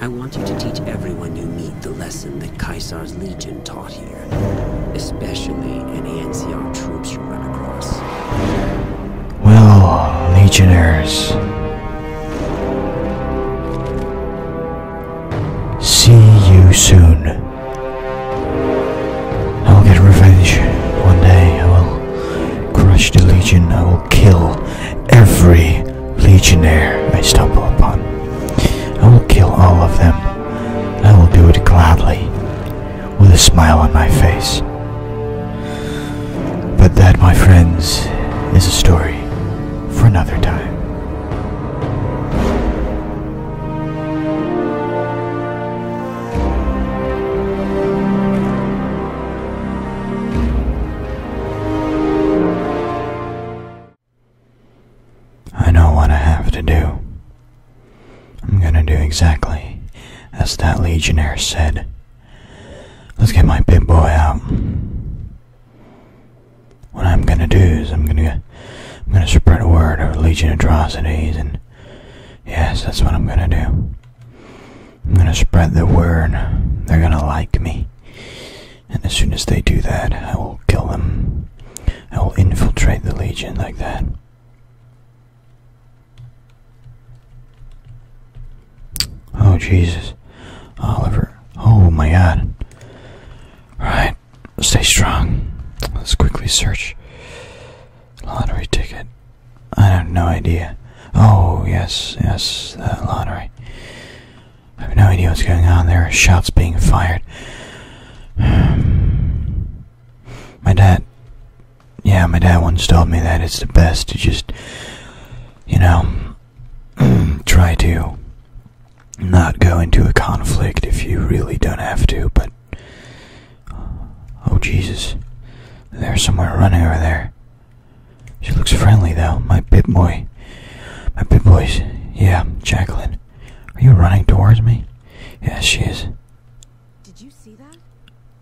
I want you to teach everyone you meet the lesson that Caesar's legion taught here, especially any NCR troops you run across. Well, legionnaires, see you soon. I will get revenge. One day I will crush the legion. I will kill every legionnaire I stumble upon. I will kill all of them. I will do it gladly, with a smile on my face. But that, my friends, is a story for another time. I know what I have to do. I'm gonna do exactly as that legionnaire said. Let's get my pit boy out. What I'm gonna do is I'm gonna I'm gonna spread a word of Legion atrocities and yes, that's what I'm gonna do. I'm gonna spread the word. They're gonna like me and as soon as they do that, I will kill them. I will infiltrate the Legion like that. Oh, Jesus. Oliver. Oh, my God. Alright, stay strong. Let's quickly search. Lottery ticket. I have no idea. Oh, yes, yes, the lottery. I have no idea what's going on. There are shots being fired. my dad. Yeah, my dad once told me that it's the best to just, you know, try to not go into a conflict if you really don't have to, but. Oh, Jesus. There's someone running over there. She looks friendly, though, my pit boy. My pit boys. Yeah, Jacqueline. Are you running towards me? Yes, she is. Did you see that?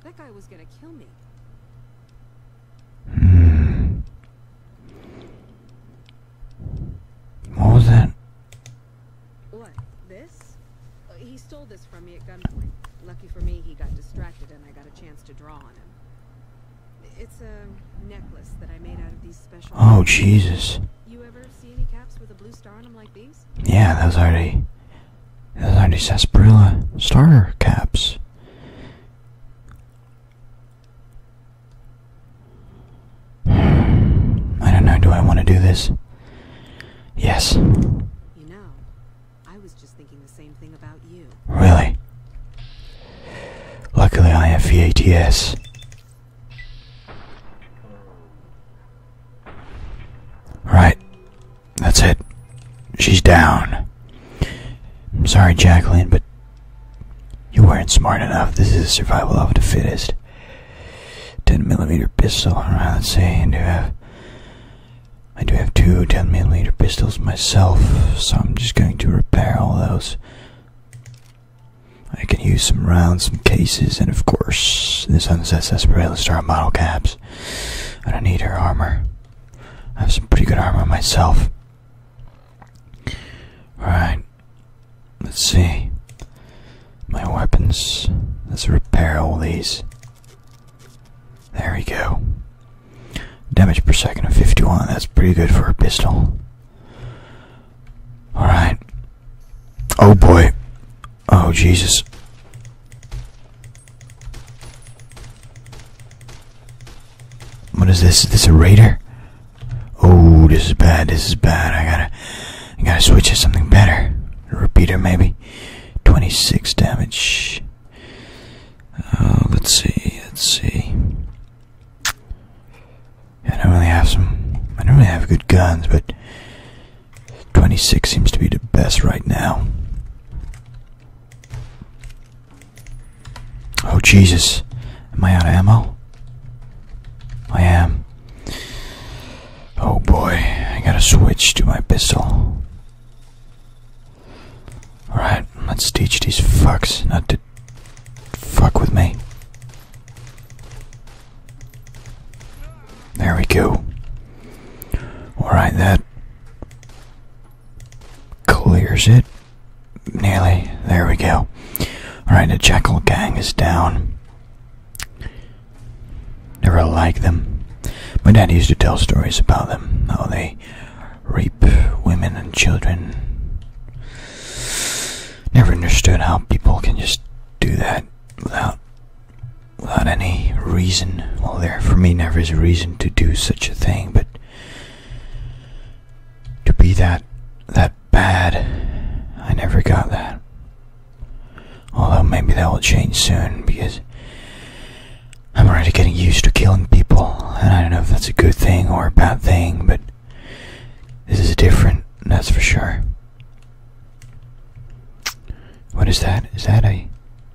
That guy was gonna kill me. Hmm. What was that? What? This? Uh, he stole this from me at gunpoint. Lucky for me, he got distracted and I got a chance to draw on him. It's a necklace that I made out of these special. Oh Jesus! You ever see any caps with a blue star on them like these? Yeah, those are the those are the sarsaparilla starter caps. I don't know. Do I want to do this? Yes. You know, I was just thinking the same thing about you. Really? Luckily, I have VATS. Right. That's it. She's down. I'm sorry, Jacqueline, but you weren't smart enough. This is survival of the fittest. 10 millimeter pistol. Alright, let's see. I do have. I do have two 10 millimeter pistols myself, so I'm just going to repair all those. I can use some rounds, some cases, and of course, this Unset Sarsaparilla Star model caps. I don't need her armor. I have some pretty good armor myself. Alright. Let's see. My weapons. Let's repair all these. There we go. Damage per second of 51. That's pretty good for a pistol. Alright. Oh boy. Oh Jesus. What is this? Is this a raider? Oh, this is bad. This is bad. I gotta, I gotta switch to something better. A repeater, maybe. 26 damage. Uh, let's see. Let's see. I don't really have some. I don't really have good guns, but 26 seems to be the best right now. Oh, Jesus. Am I out of ammo? I am. Oh boy, I gotta switch to my pistol. Alright, let's teach these fucks not to fuck with me. There we go. Alright, that clears it. Nearly. There we go. Alright, the Jackal Gang is down. Never like them. My dad used to tell stories about them, how they rape women and children. Never understood how people can just do that without without any reason. Well, there for me never is a reason to do such a thing, but to be that that bad, I never got that. Although maybe that will change soon because I'm already getting used to killing people, and I don't know if that's a good thing or a bad thing, but this is different, that's for sure. What is that? Is that a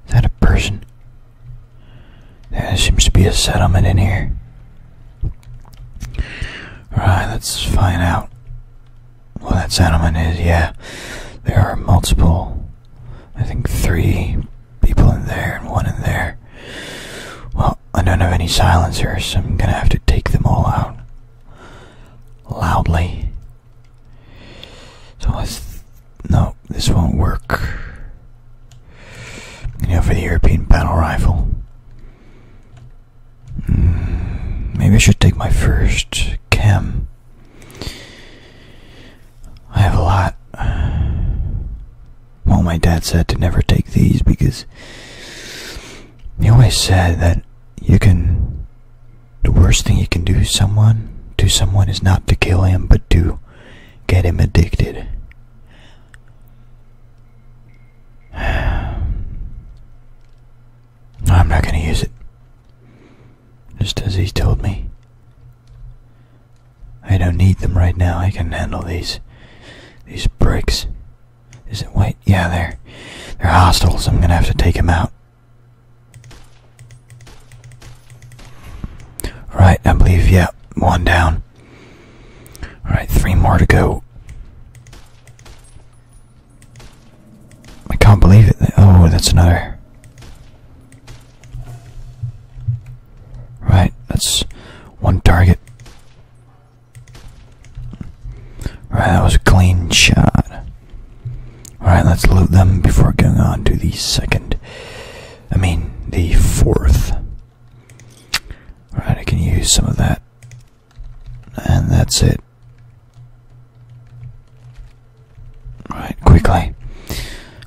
is that a person? There seems to be a settlement in here. Alright, let's find out what that settlement is. Yeah, there are multiple, I think three people in there and one in there. I don't have any silencers, so I'm gonna have to take them all out loudly. So let No, this won't work. I'm for the European battle rifle. Hmm, maybe I should take my first chem. I have a lot. Well, my dad said to never take these because he always said that you can. The worst thing you can do someone to someone is not to kill him, but to get him addicted. I'm not gonna use it. Just as he's told me. I don't need them right now. I can handle these. These bricks. Is it wait? Yeah, they're they're hostiles. I'm gonna have to take them out. Right, I believe. Yeah, one down. All right, three more to go. I can't believe it. Oh, that's another. Right, that's one target. Right, that was a clean shot. Alright, let's loot them before going on to the second. I mean, the fourth. Alright, I can use some of that. And that's it. Alright, quickly.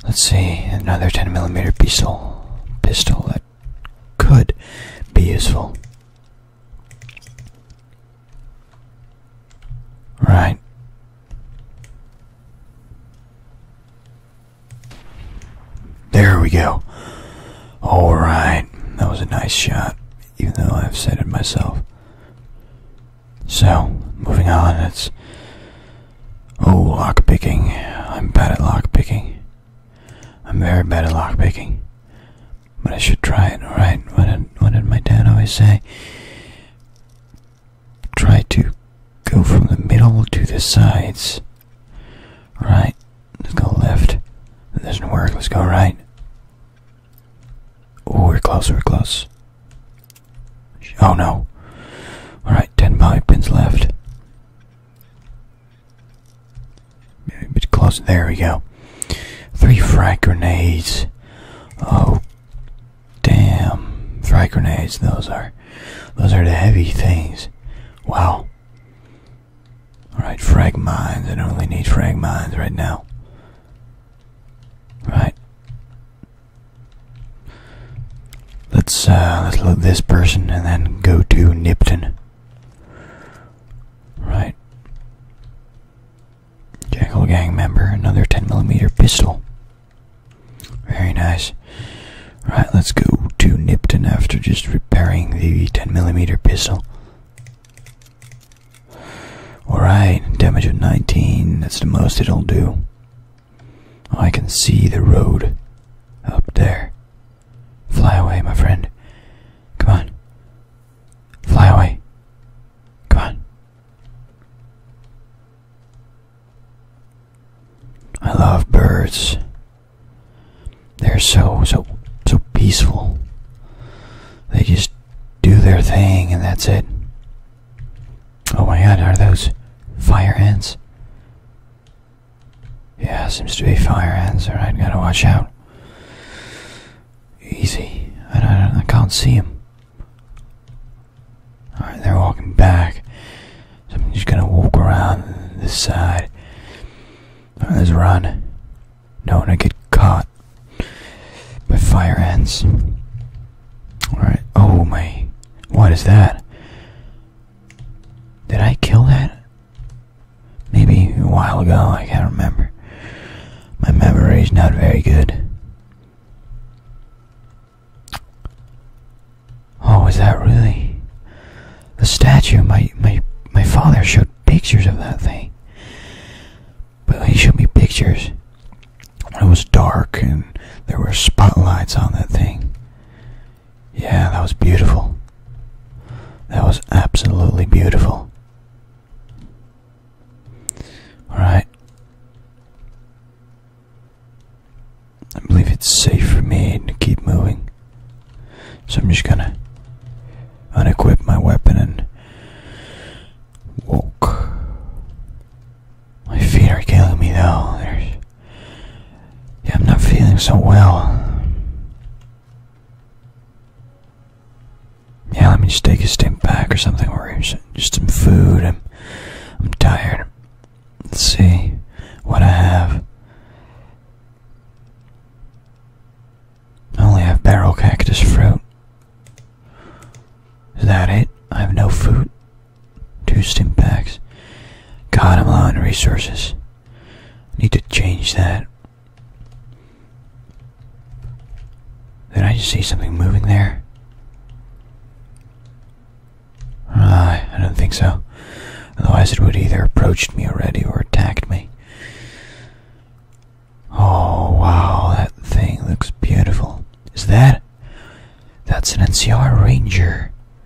Let's see, another 10 millimeter pistol. Pistol, could be useful. Right. There we go. Alright. That was a nice shot, even though I've said it myself. So, moving on, it's. Oh, lockpicking. I'm bad at lockpicking. I'm very bad at lockpicking, but I should try it, Right? What did, what did my dad always say? Try to go from the middle to the sides. Right? Let's go left. That doesn't work. Let's go right. Oh, we're close, we're close. Oh no. Alright, 10 poly pins left. Maybe a bit There we go. Three frag grenades. Oh, damn! Frag grenades. Those are, those are the heavy things. Wow. All right, frag mines. I don't really need frag mines right now. Right. Let's uh, let's loot this person and then go to Nipton. Right. Jangle gang member, another 10mm pistol. Very nice. Right, let's go to Nipton after just repairing the 10mm pistol. Alright, damage of 19, that's the most it'll do. Oh, I can see the road up there. Fly away, my friend. Come on. Fly away. Come on. I love birds. They're so, so, so peaceful. They just do their thing and that's it. Oh my god, are those fire ants? Yeah, seems to be fire ants. Alright, gotta watch out. Easy. I, don't, I can't see them. Alright, they're walking back. I'm just gonna walk around this side. Alright, let's run. Don't wanna get caught by fire ants. Alright, oh my. What is that? Did I kill that? Maybe a while ago, I can't remember. My memory is not very good. Oh, is that really the statue? My my my father showed pictures of that thing. But he showed me pictures. It was dark and there were spotlights on that thing. Yeah, that was beautiful. That was absolutely beautiful. Alright. I believe it's safe for me to keep moving. So I'm just gonna unequip my weapon and walk. My feet are killing me though. yeah, I'm not feeling so well. Yeah, let me just take a step back or something, or just some food. I'm, I'm tired. Let's see what I have. I only have barrel cactus fruit. Is that it? I have no food. Two stim packs. God, I'm low on resources. I need to change that. Did I just see something moving there? Uh, I don't think so. Otherwise, it would either approached me already or attacked me. Oh wow, that thing looks beautiful. Is that? That's an NCR Ranger.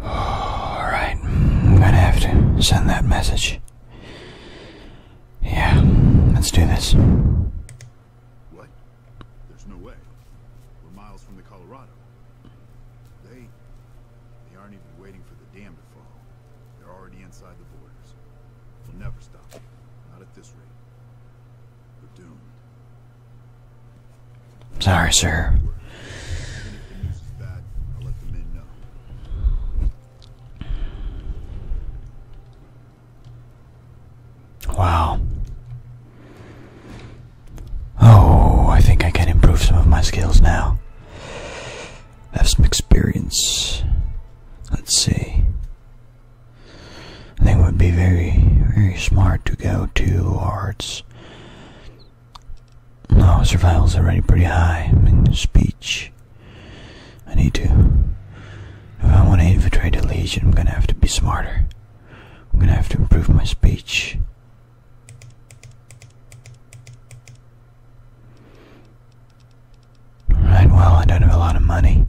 Alright, I'm gonna have to send that message. Yeah, let's do this. What? There's no way. We're miles from the Colorado. They... they aren't even waiting for the dam to fall. They're already inside the borders. We'll never stop. Not at this rate. We're doomed. Sorry, sir. Wow. Oh, I think I can improve some of my skills now. I have some experience. Let's see. I think it would be very, very smart to go to arts no, survival's already pretty high in speech. I need to. If I want to infiltrate the Legion, I'm gonna have to be smarter. I'm gonna have to improve my speech. Alright, well, I don't have a lot of money.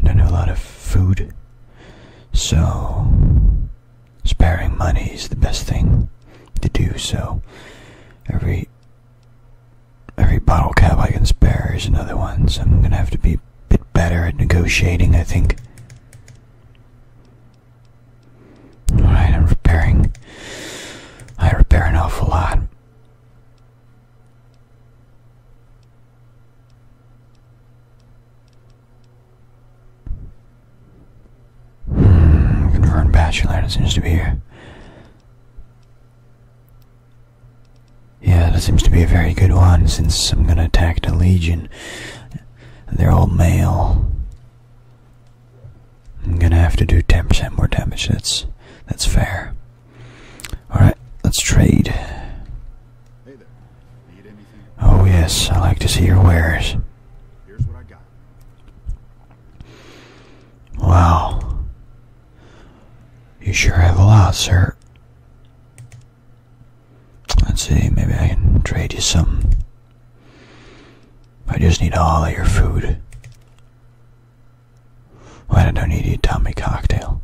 I don't have a lot of food. So, sparing money is the best thing to do. So every every bottle cap I can spare is another one. So I'm gonna have to be a bit better at negotiating. I think. All right, I'm repairing. I repair an awful lot. Confirmed bachelor, that seems to be here. Yeah, that seems to be a very good one, since I'm gonna attack the Legion. They're all male. I'm gonna have to do 10% more damage, that's, that's fair. Alright, let's trade. Oh yes, I like to see your wares. Here's what I got. Well, You sure have a lot, sir. Let's see, maybe I can trade you some. I just need all of your food. I don't need your Tommy cocktail.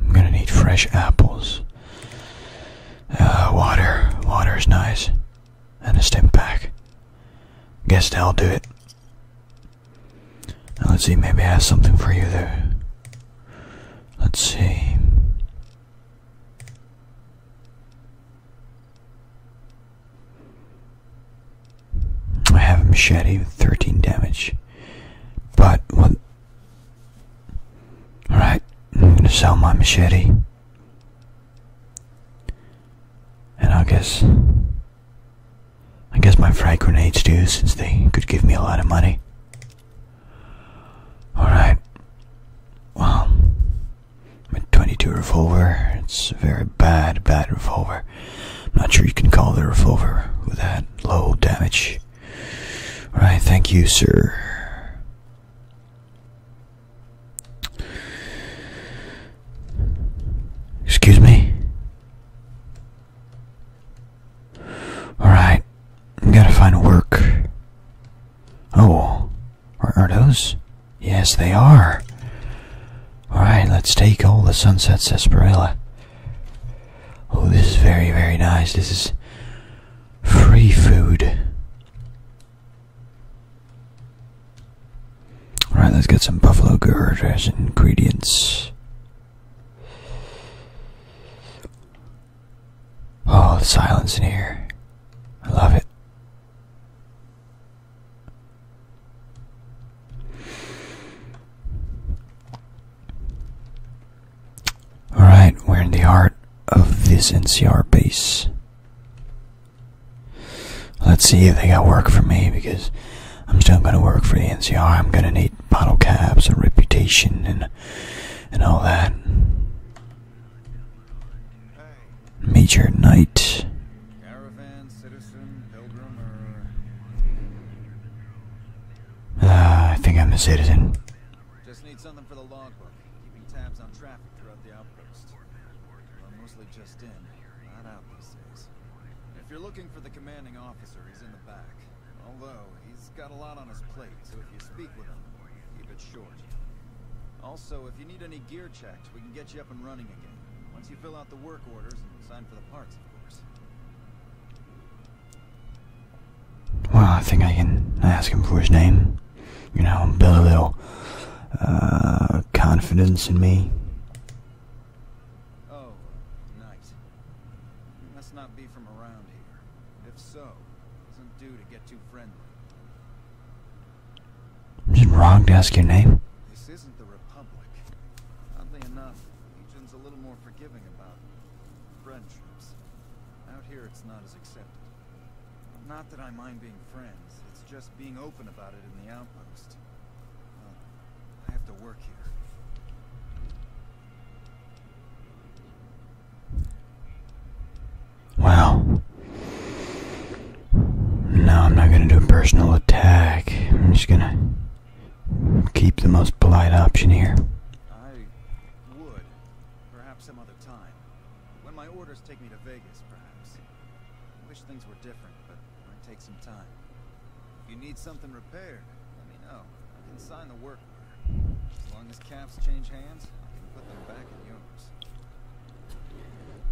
I'm gonna need fresh apples. Uh, water. water. is nice and a stim pack. Guess i will do it. let's see, maybe I have something for you there. Let's see. I have a machete with 13 damage. But, what? Alright, I'm gonna sell my machete. And I guess. I guess my frag grenades do, since they could give me a lot of money. Alright. Well, my 22 revolver, it's a very bad, bad revolver. I'm not sure you can call the revolver with that low damage. Alright, thank you, sir. Excuse me. Alright. Gotta find work. Oh. Are, are those? Yes, they are. Alright, let's take all the sunset sarsaparilla. Oh, this is very, very nice. This is free food. Alright, let's get some buffalo gourd as ingredients. Oh, the silence in here. I love it. Alright, we're in the heart of this NCR base. Let's see if they got work for me because I'm still going to work for the NCR. I'm going to need bottle caps and reputation and and all that. Major Knight. Caravan, citizen, pilgrim, or... uh, I think I'm a citizen. Just need something for the logbook, outpost. Well, mostly just in, not out these days. If you're looking for the commanding officer, he's in the back. Although, he's got a lot on his plate, so if you speak with him, keep it short. Also, if you need any gear checked, we can get you up and running again. Once you fill out the work orders and sign for the parts, of course. Well, I think I can ask him for his name you know, build a little uh, confidence in me. Oh, nice. You must not be from around here. If so, doesn't do to get too friendly. Is it wrong to ask your name? This isn't the Republic. Oddly enough, Legion's a little more forgiving about friendships. Out here, it's not as accepted. Not that I mind being friends, it's just being open about it in the outpost. I have to work here. Wow. No, I'm not going to do a personal attack. I'm just going to keep the most polite option here. I would. Perhaps some other time. When my orders take me to Vegas, perhaps. I wish things were different, but it might take some time. If you need something repaired, let me know. I can sign the work order. As long as caps change hands, I can put them back in yours.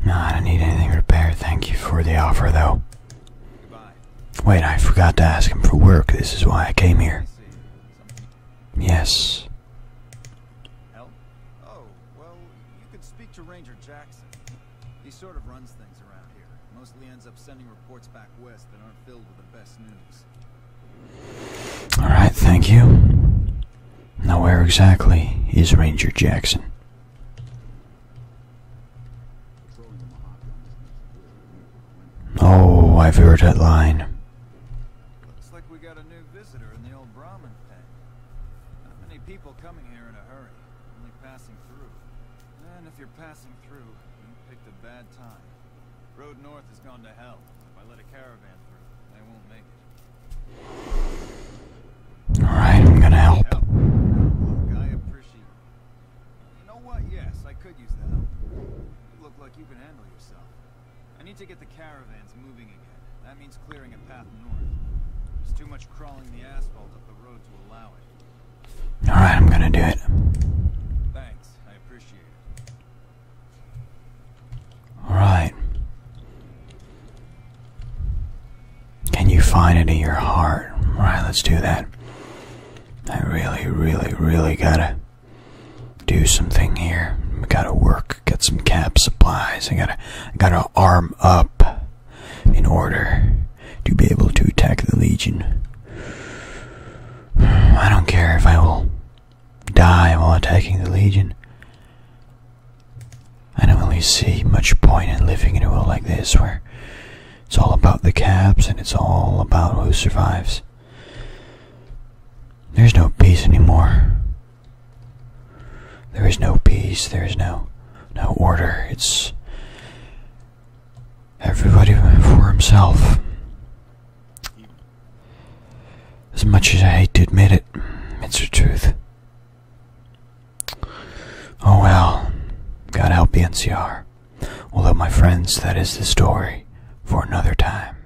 No, I don't need anything repaired. Thank you for the offer, though. Goodbye. Wait, I forgot to ask him for work. This is why I came here. Yes. Help? Oh, well, you could speak to Ranger Jackson. He sort of runs things around here. Mostly ends up sending reports back west that aren't filled with the best news. Alright, thank you. Now where exactly is Ranger Jackson? Oh, I've heard that line. Looks like we got a new visitor in the old Brahmin not many people coming here in a hurry, only passing through. And if you're passing through, you picked a bad time. Road north has gone to hell. If I let a caravan through, they won't make it. Alright, I'm gonna help. Look, I appreciate You know what? Yes, I could use the help. You look like you can handle yourself. I need to get the caravans moving again. That means clearing a path north. There's too much crawling the asphalt up the road to allow it. Alright, I'm gonna do it. Thanks, I appreciate it. Alright. Can you find it in your heart? Alright, let's do that. I really, really, really gotta do something here. We gotta work. Got some cap supplies. I gotta, gotta arm up in order to be able to attack the Legion. I don't care if I will die while attacking the Legion. I don't really see much point in living in a world like this where it's all about the caps and it's all about who survives. There's no peace anymore. There is no peace, there is no no order. It's everybody for himself. As much as I hate to admit it, it's the truth. Oh well, God help the NCR. Although, my friends, that is the story for another time.